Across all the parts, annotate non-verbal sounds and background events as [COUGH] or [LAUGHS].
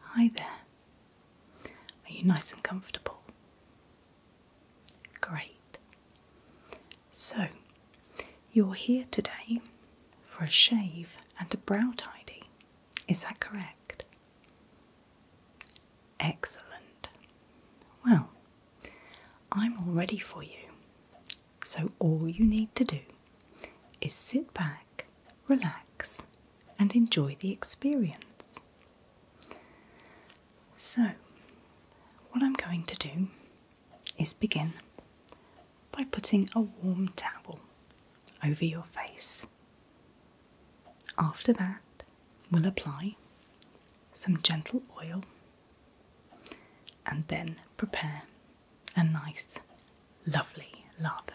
Hi there. Are you nice and comfortable? Great. So, you're here today for a shave and a brow tidy, is that correct? Excellent. Well, I'm all ready for you. So, all you need to do is sit back, relax, and enjoy the experience. So, what I'm going to do is begin by putting a warm towel over your face. After that, we'll apply some gentle oil and then prepare a nice, lovely lather.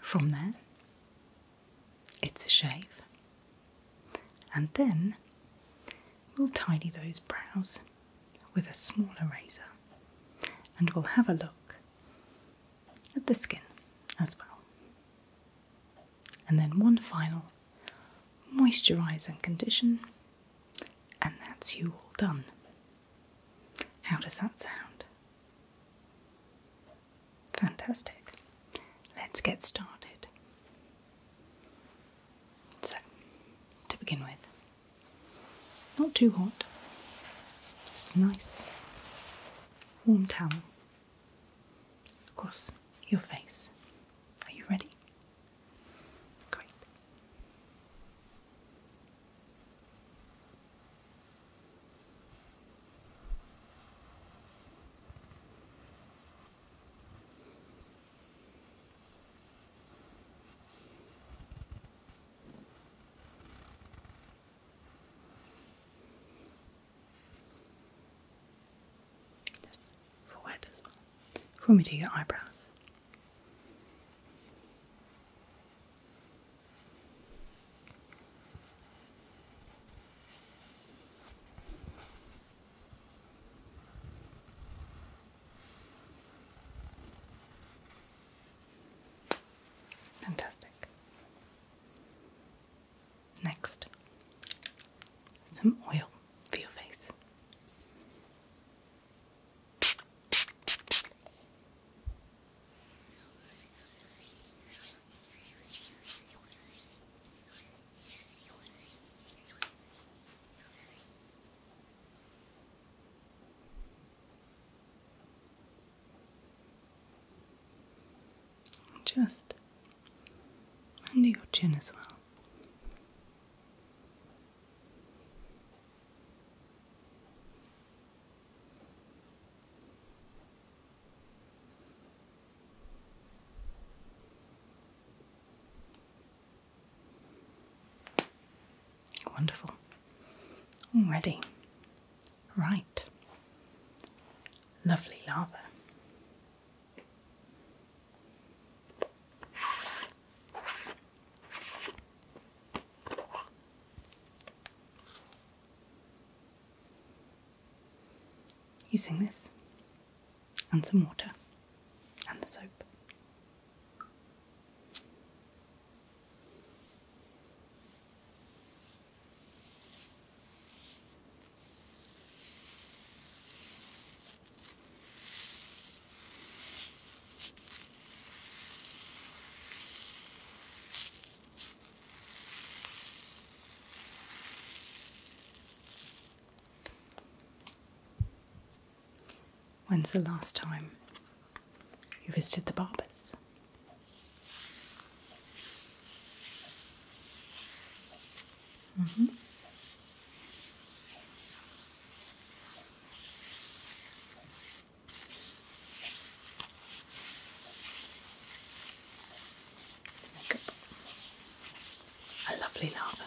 From there, it's a shave, and then we'll tidy those brows with a small razor and we'll have a look at the skin as well. And then one final moisturising condition and that's you all done. How does that sound? Fantastic. Let's get started. So, to begin with, not too hot, just a nice warm towel across your face. Are you ready? Great. Just forward as well. Before we do your eyebrows, Fantastic. Next, some oil for your face. Just under your chin as well. Wonderful. Mm, ready. Right. Lovely lava. Using this and some water and the soap. When's the last time you visited the barbers? Mm-hmm. A lovely lava.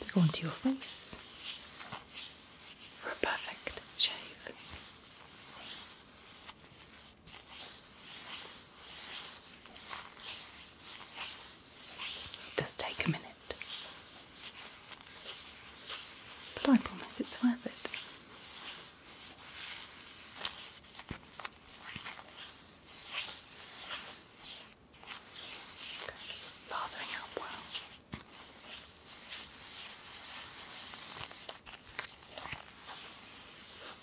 They go onto your face for a perfect shave does take a minute, but I promise it's worth it. Lathering up well.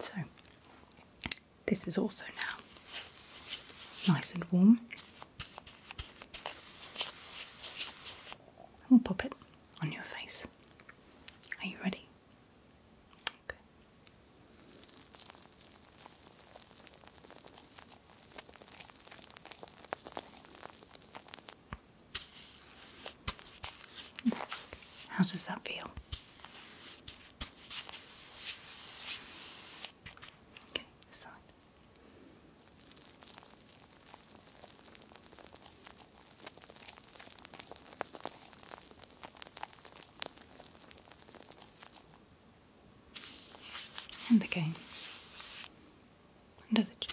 So, this is also now nice and warm. We'll pop it on your face. Are you ready? How does that feel? Okay, side. And again. Under the chin.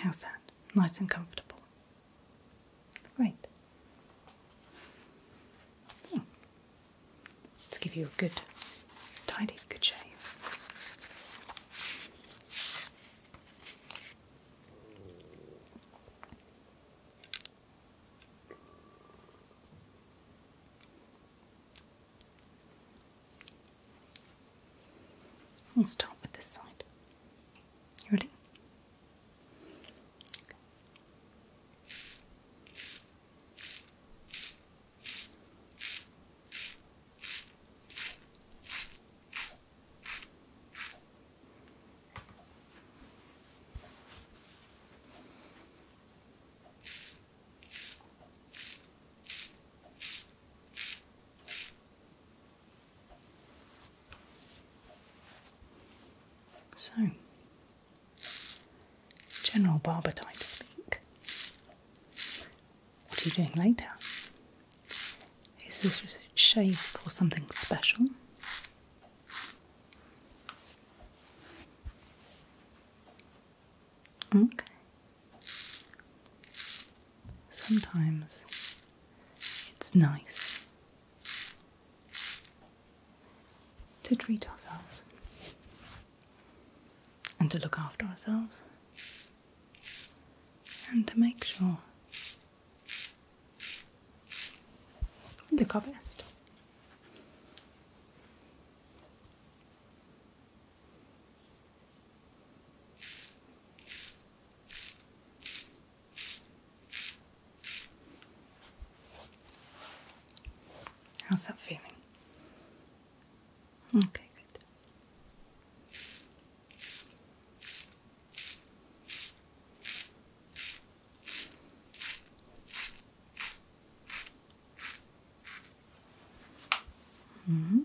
How's that? Nice and comfortable. Great. Hmm. Let's give you a good, tidy, good shave. We'll start with this side. You ready? So, general barber type speak. What are you doing later? Is this shave or something special? Okay. Sometimes it's nice to treat ourselves and to look after ourselves and to make sure we look our best. How's that feeling? Okay, good. Mm -hmm.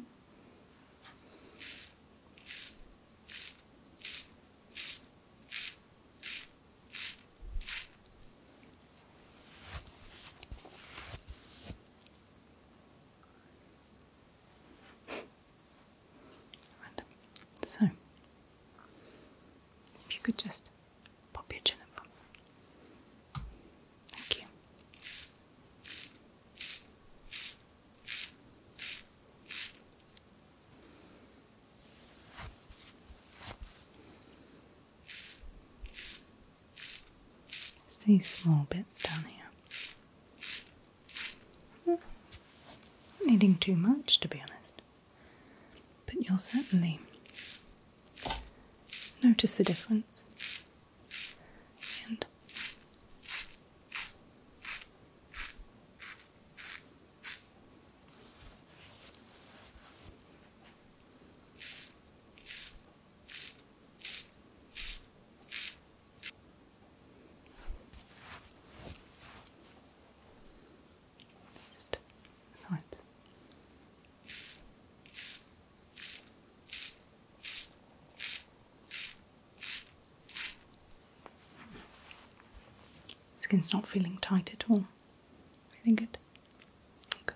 So, if you could just pop your chin Thank you. Just these small bits down here. Not hmm. needing too much, to be honest, but you'll certainly notice the difference and just so Skin's not feeling tight at all. Everything good? Okay.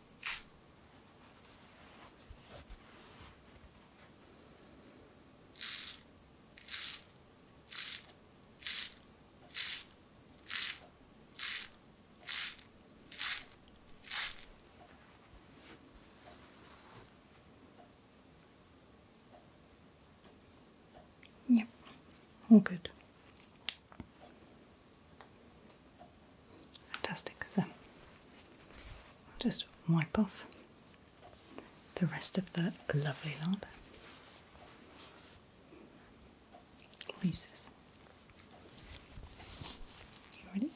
Yep, all good. Fantastic. So I'll just wipe off the rest of the lovely lather. Looses. You ready?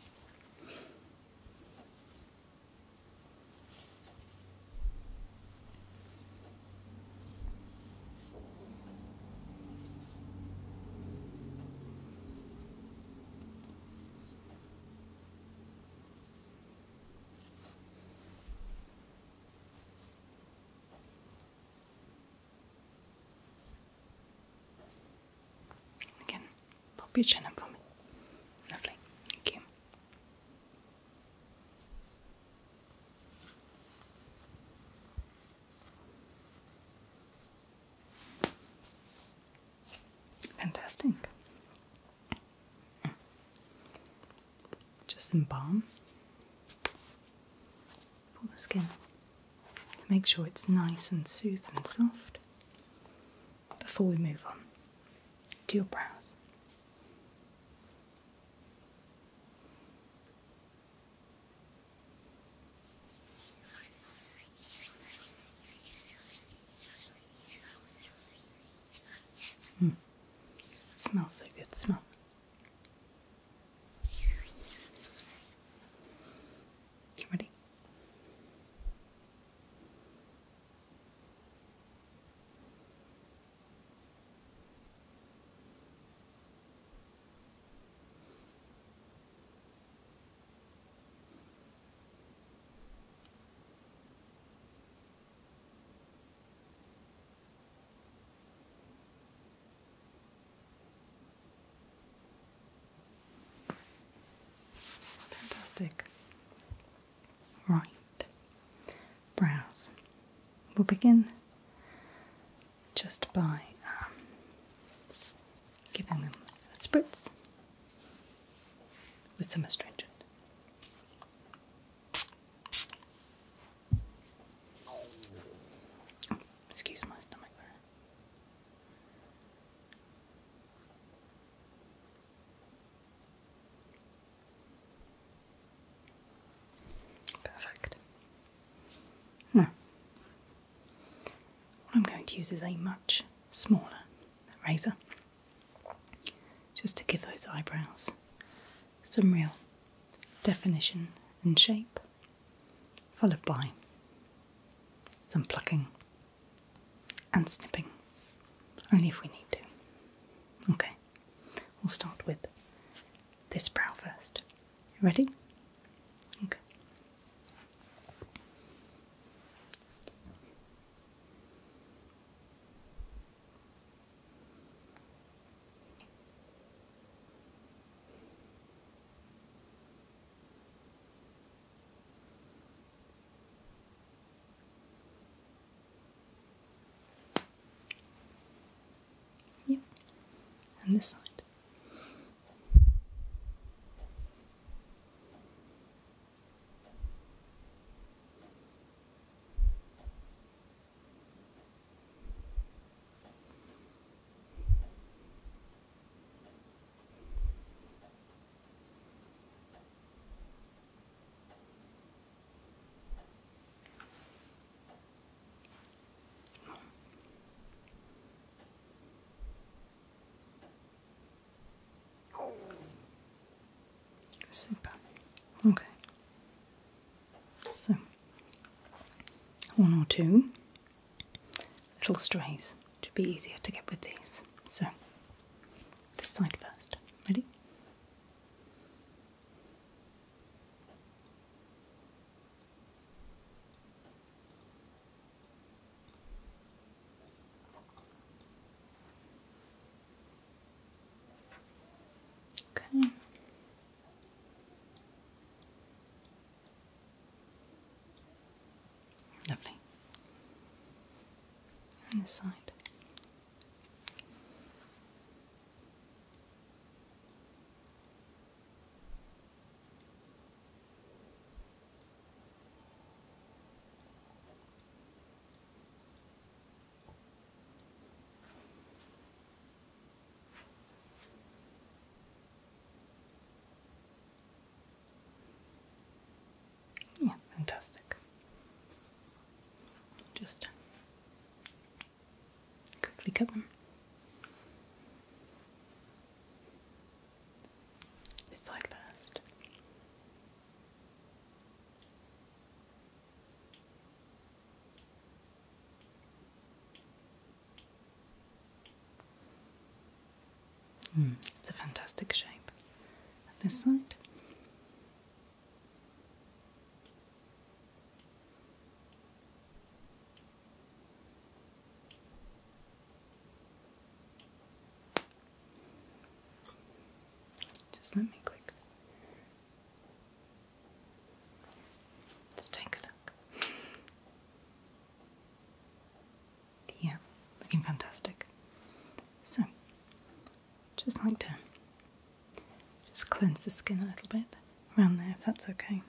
Again, pop your chin up for me. Lovely. Thank you. Fantastic. Just some balm for the skin. Make sure it's nice and soothing, and soft before we move on to your brows. Mm. Smells so good, smell. You ready? Fantastic. Right. Brows. We'll begin just by um, giving them a spritz with some astringent. excuse my stomach there. Perfect. I'm going to use is a much smaller razor just to give those eyebrows some real definition and shape, followed by some plucking and snipping, only if we need to. Okay, we'll start with this brow first. Ready? Okay. Yeah. And this side. Super. Okay. So, one or two little strays to be easier to get with these. So, this side first. Ready? Okay. Lovely. And this side. Yeah, fantastic. Just quickly cut them. This side first. Hmm, it's a fantastic shape. this side. Just let me quick. Let's take a look. Yeah, looking fantastic. So, just like to just cleanse the skin a little bit around there if that's okay.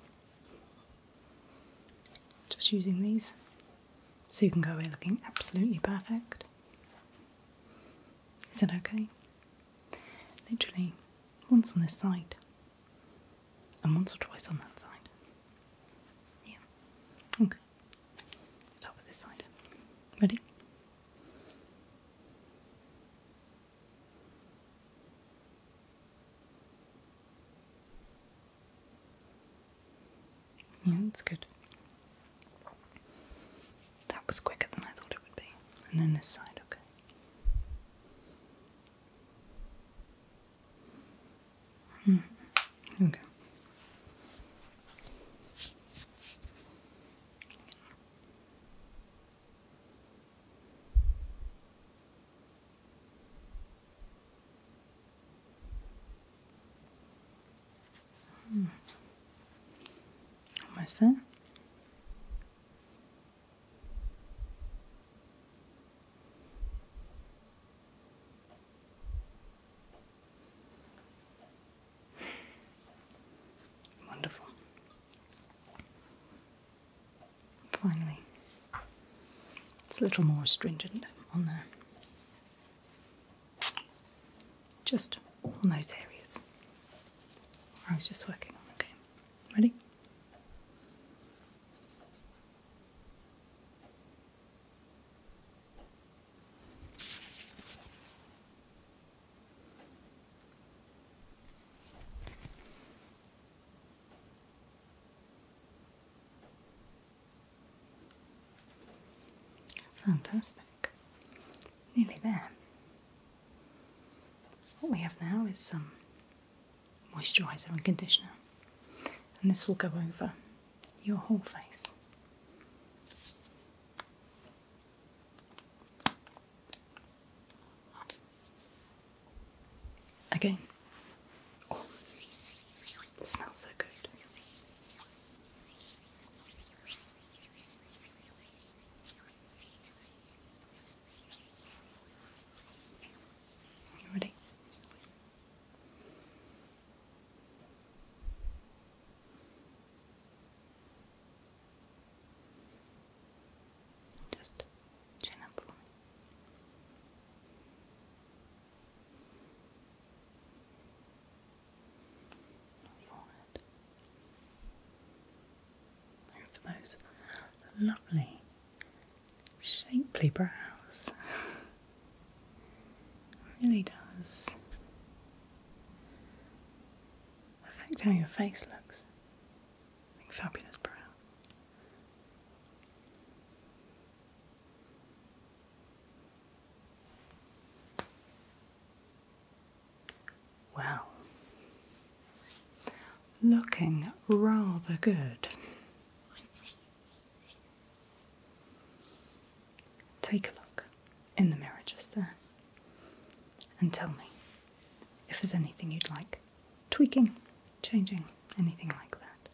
Just using these so you can go away looking absolutely perfect. Is that okay? Literally once on this side and once or twice on that side. Yeah. Okay. Start with this side. Ready? Yeah, it's good. That was quicker than I thought it would be. And then this side, okay. Hmm. Here Hmm. Almost there. Wonderful. Finally, it's a little more astringent on there. Just on those areas I was just working on. Okay, ready? Fantastic. Nearly there. What we have now is some moisturiser and conditioner, and this will go over your whole face. Okay. Oh, smells so good. You ready? Just chin up Forehead. those lovely, shapely brows. [LAUGHS] really does affect how your face looks. Like fabulous brow. Well, looking rather good. Take a look in the mirror just there and tell me if there's anything you'd like tweaking, changing, anything like that.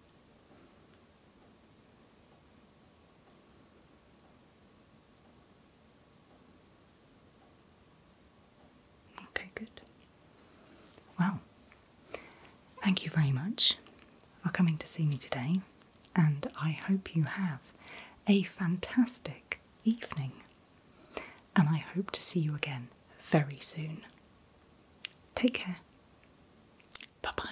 Okay, good. Well, thank you very much are coming to see me today, and I hope you have a fantastic evening. And I hope to see you again very soon. Take care. Bye bye.